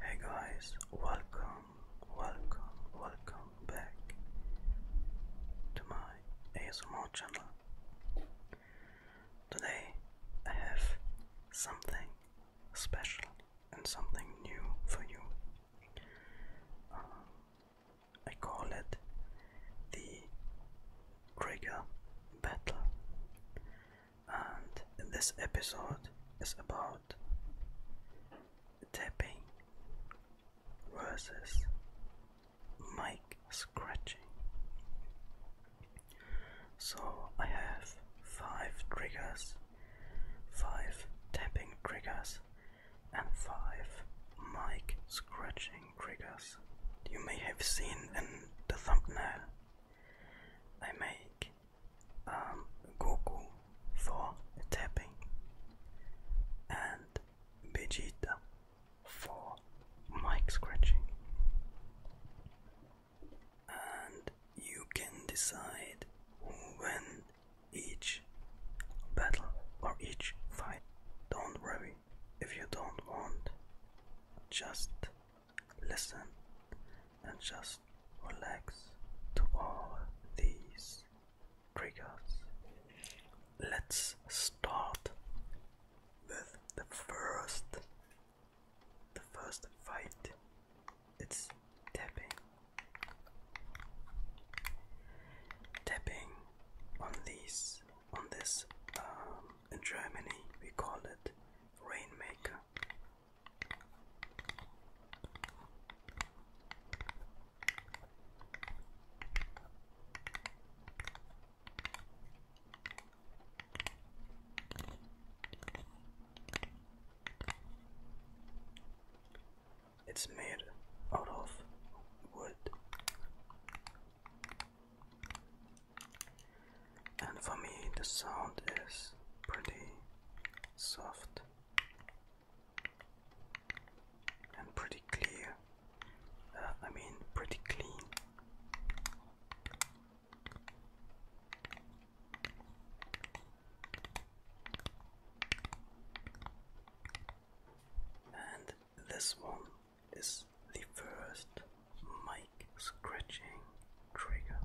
Hey guys, welcome, welcome, welcome back to my ASMR channel. Today I have something special and something new for you. Uh, I call it the Trigger Battle and this episode is about tapping versus mic scratching. So I have five triggers, five tapping triggers, and five mic scratching triggers. You may have seen in the thumbnail I make um, Goku for tapping and Vegeta for mic scratching. And you can decide who win each battle or each fight. Don't worry if you don't want. Just listen, and just relax to all these triggers. Let's start with the first the first fight. It's tapping. Tapping on these on this um, in Germany we call it rainmaker. It's made out of wood and for me the sound is pretty soft and pretty clear. Uh, I mean, pretty clean. And this one is the first mic scratching trigger.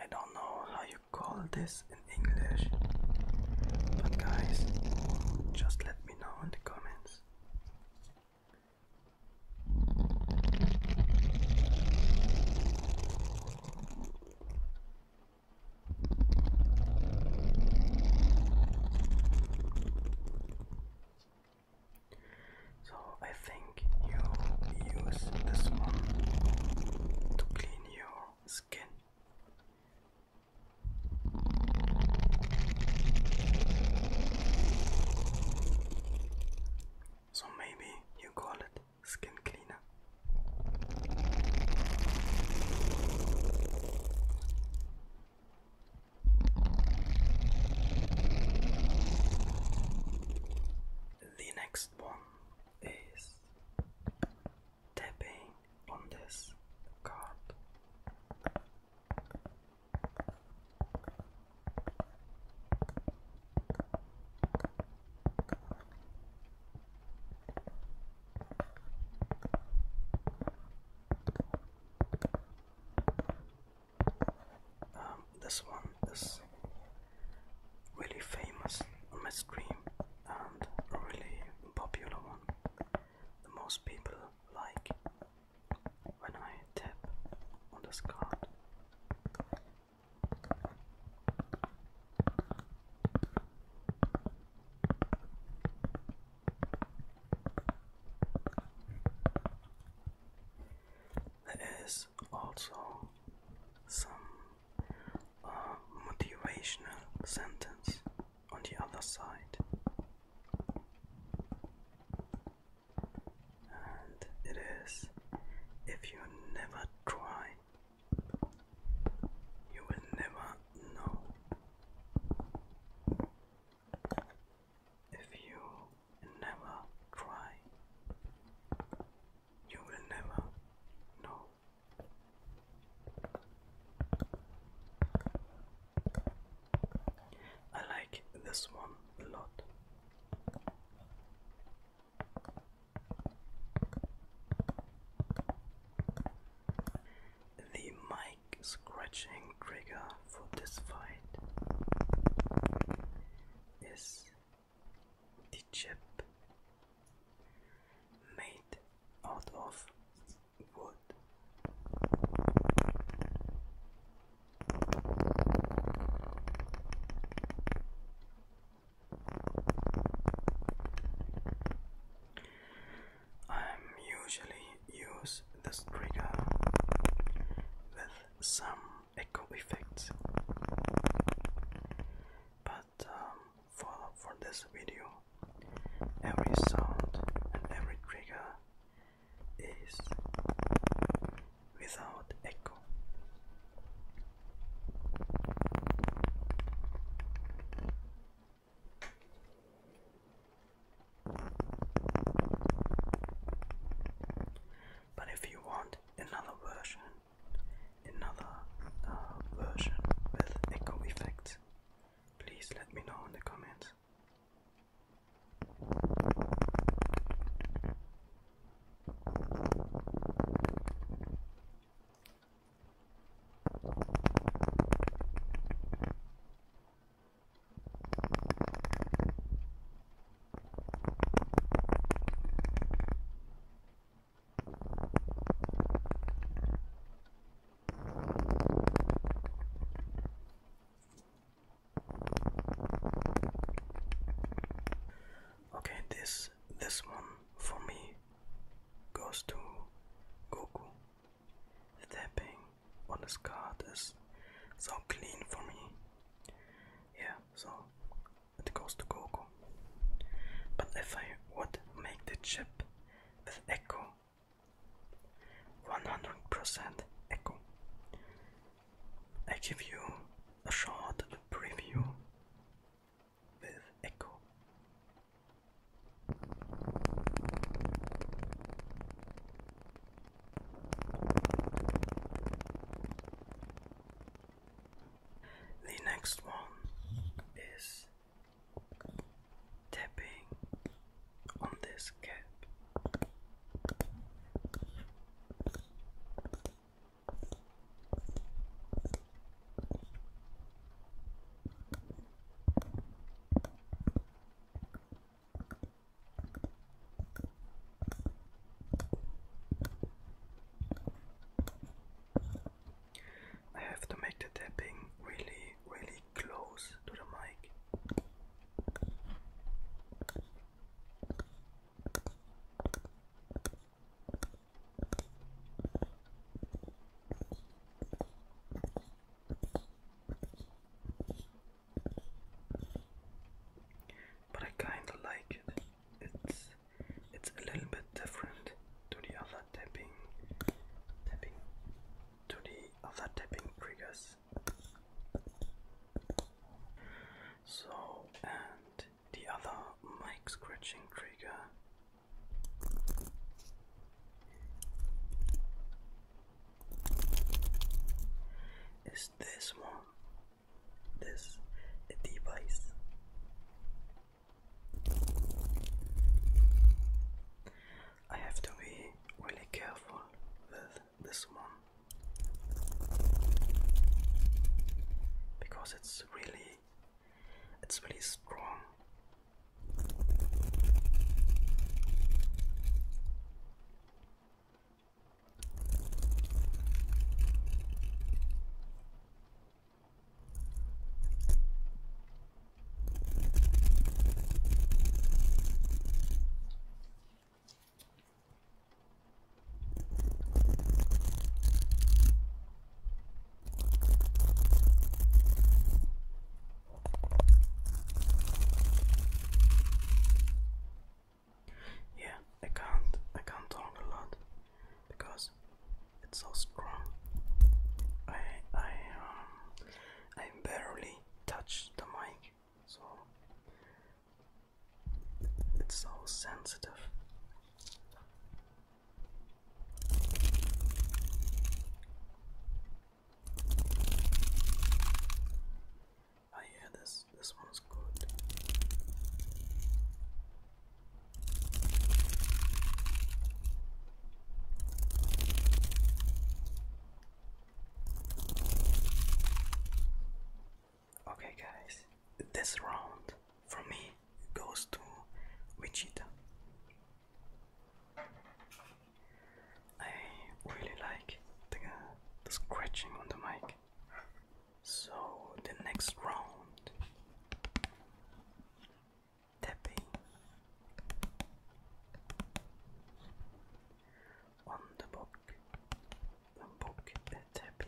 I don't know how call this in English. But guys, just let me know in the comments. So I think you use this one to clean your skin. So maybe you call it skin cleaner. The next one is tapping on this card. Um, this one is really famous on a really popular one. The most people like when I tap on this card. There is also some a motivational sentence on the other side, and it is if you never try, you will never know. If you never try, you will never know. I like this one a lot. The mic scratching trigger for this fight is the chip made out of wood. I usually use this trigger with some echo effects, but um, for, for this video. Every sound and every trigger is without echo. But if you want another version, another uh, version with echo effects, please let me know in the comments. Okay, this this one for me goes to Goku. The on this card is so clean for me. Yeah, so it goes to Goku. But if I would make the chip with Echo 100% Echo, I give you a short preview with Echo. The next one is tapping on this cap. I have to make the tapping really, really close to the mic. But I kinda like it. It's it's a little bit different to the other tapping tapping to the other tapping triggers. So and the other mic scratching trigger is this one. This device I have to be really careful with this one because it's really it's really strong. Yeah, I can't I can't talk a lot because it's so strong. I I um I barely touch the mic, so it's so sensitive. I oh, hear this. This one's good. Okay, guys, this round for me goes to Wichita. I really like the scratching on the mic. So the next round tapping on the book, the book tapping.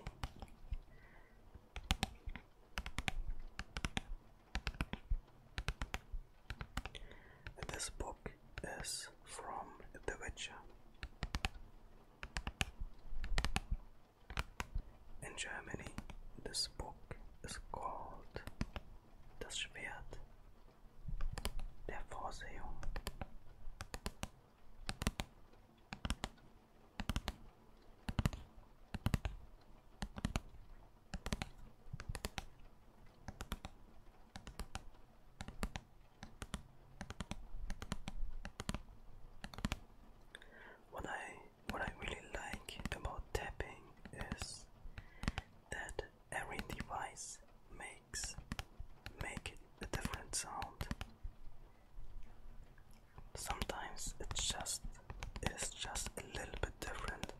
This book is from The Witcher. In Germany, this book is called Das Schwert der Vorsehung. What I what I really like about tapping is that every device makes make a different sound. Sometimes it's just it's just a little bit different,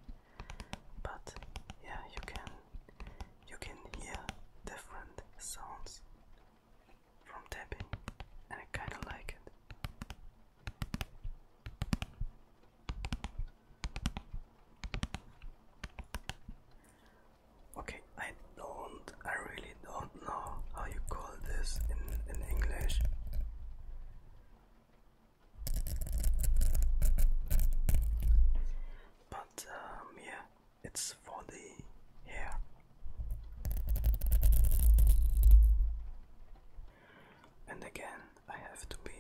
but yeah, you can you can hear different sounds from tapping, and I kind of like it. Okay, I don't, I really don't know how you call this in, in English. But um, yeah, it's for the hair. And again, I have to be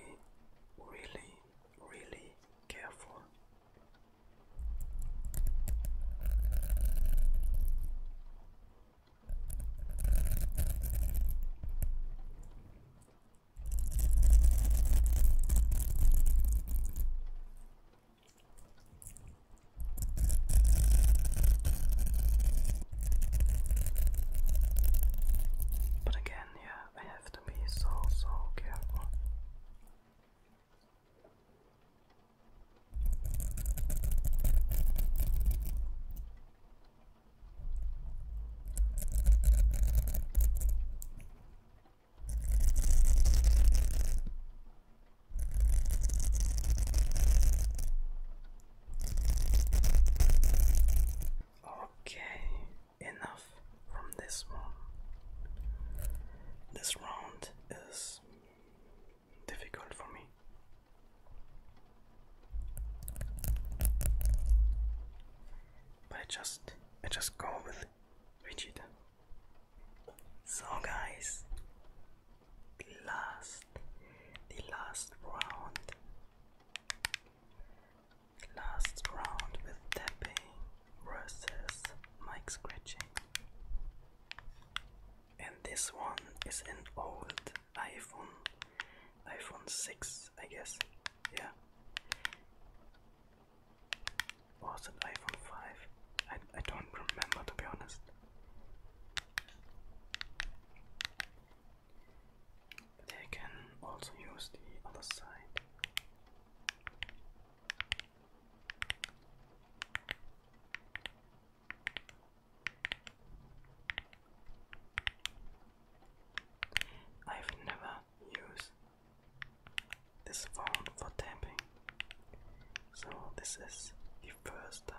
really, really careful. But again, yeah, I have to be so, so careful. Okay, enough from this one. This round is difficult for me. But I just I just go with Vegeta. So guys, the last the last round Last round with tapping versus mic scratching. And this one is an old iPhone, iPhone 6, I guess. Yeah. was it iPhone 5? I, I don't remember to be honest. They can also use the other side. I've never used this phone for tapping, so this is the first time.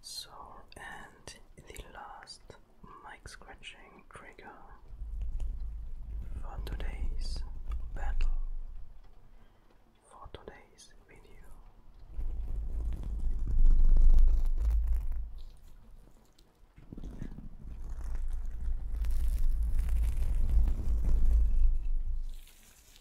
So, and the last mic scratching trigger for today's battle, for today's video.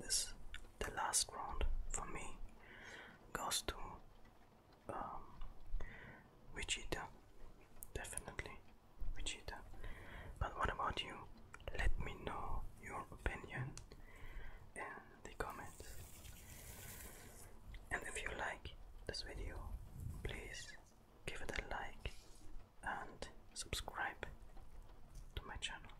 this the last round for me goes to um, Vegeta, definitely Vegeta. But what about you? Let me know your opinion in the comments. And if you like this video, please give it a like and subscribe to my channel.